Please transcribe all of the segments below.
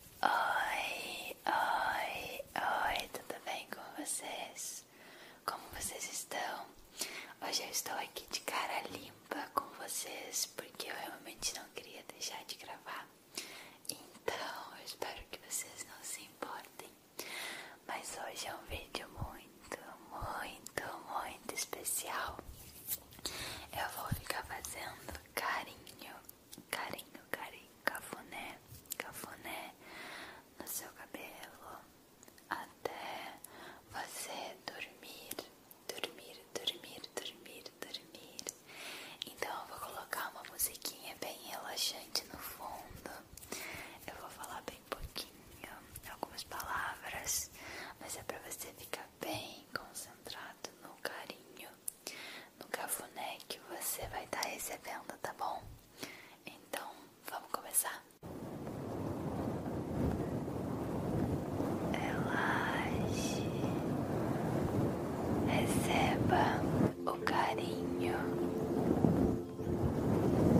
Oi, oi, oi, tudo bem com vocês? Como vocês estão? Hoje eu estou aqui de cara limpa com vocês porque eu realmente não queria deixar de gravar. Então, eu espero que vocês não se importem. Mas hoje é um vídeo muito, muito, muito especial. Eu vou ficar fazendo carinho carinho, carinho, cafoné, cafoné, no seu cabelo até você dormir, dormir, dormir, dormir, dormir. Então eu vou colocar uma musiquinha bem relaxante no fundo. Eu vou falar bem pouquinho, algumas palavras, mas é para você ficar bem concentrado no carinho no cafuné que você vai estar tá recebendo, tá bom? Então, vamos começar. Relaxe, receba o carinho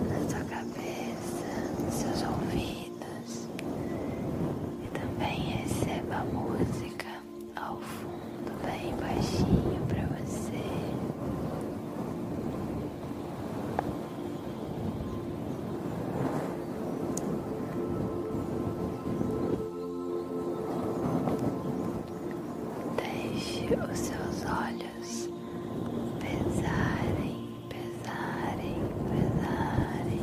na sua cabeça, nos seus ouvidos e também receba a música ao fundo, bem baixinho para você. Deixe os seus olhos pesarem, pesarem, pesarem.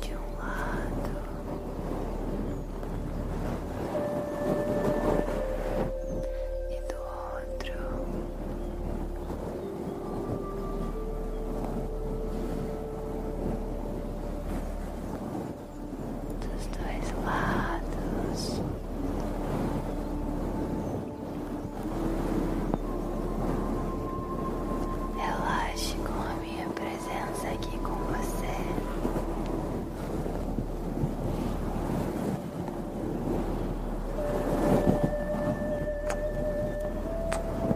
de um lado e do outro dos dois lados. Relaxe com a minha presença aqui com você.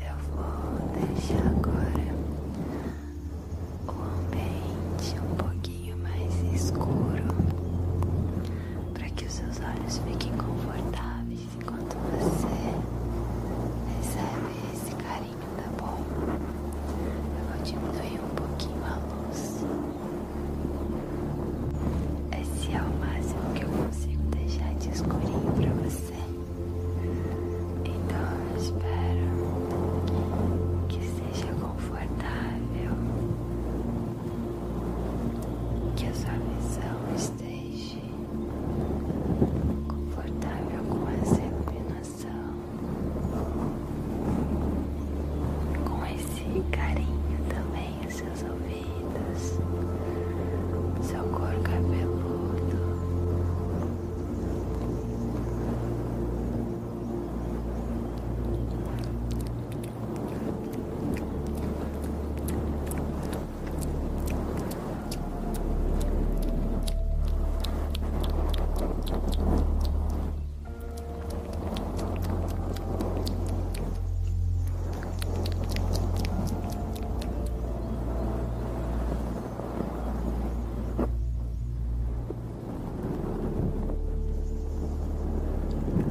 Eu vou deixar agora o ambiente um pouquinho mais escuro para que os seus olhos fiquem confortáveis enquanto você recebe esse carinho tá bom? Eu vou diminuir um pouquinho a luz. Esse é o máximo que eu consigo deixar de escurinho pra você. Então eu espero que seja confortável, que a sua visão esteja confortável com essa iluminação coração com esse carinho também os seus ouvidos, seu couro cabeludo. É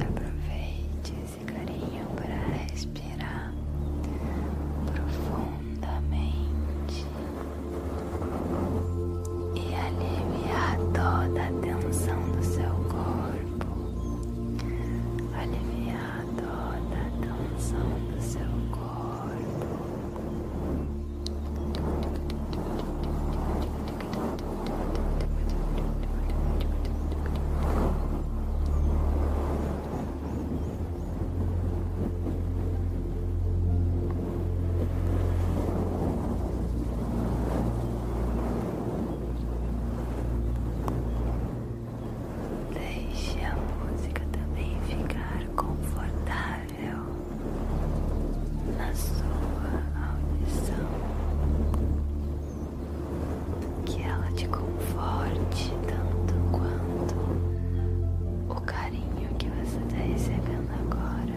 Aproveite esse carinho para respirar profundamente e aliviar toda a tensão do seu corpo, aliviar toda a tensão do seu corpo. Deixe a música também ficar confortável na sua audição, que ela te conforte tanto quanto o carinho que você está recebendo agora.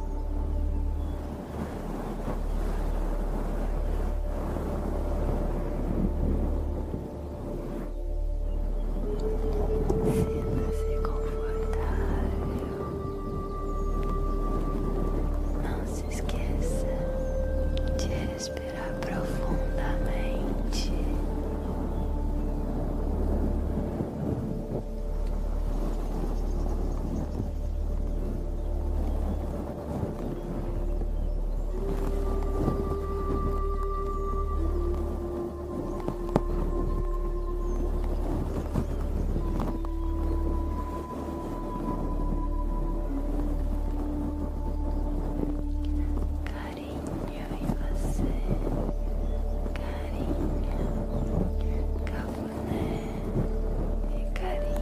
Sinta-se confortável. Não se esqueça de respirar profundamente. Carinho em você, carinho, café né? É carinho.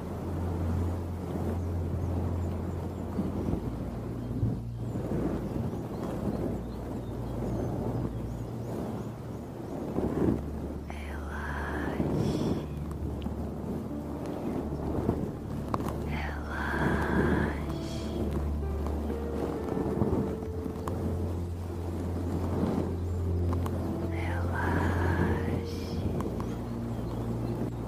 Relaxe, relaxe, relaxe,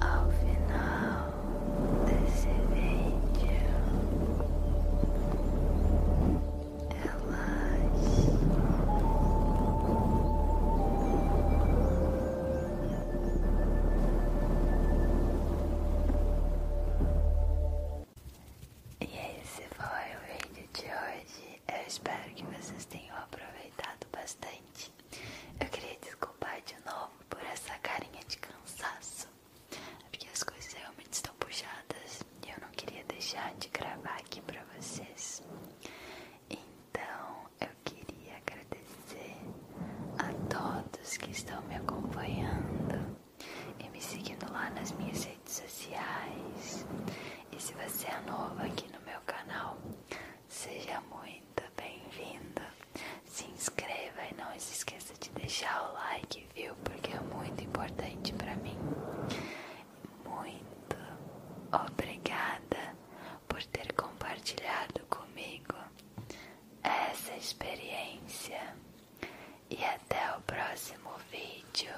Ao final desse vídeo, elas. E esse foi o vídeo de hoje. Eu espero que vocês tenham aproveitado bastante. Eu queria desculpar de novo por essa carinha de cansaço, é porque as coisas realmente estão puxadas e eu não queria deixar de gravar aqui pra vocês. Então eu queria agradecer a todos que estão me acompanhando e me seguindo lá nas minhas redes sociais. E se você é novo aqui no meu canal, Seja muito bem-vindo. Se inscreva e não se esqueça de deixar o like, viu? Porque é muito importante para mim. Muito obrigada por ter compartilhado comigo essa experiência. E até o próximo vídeo.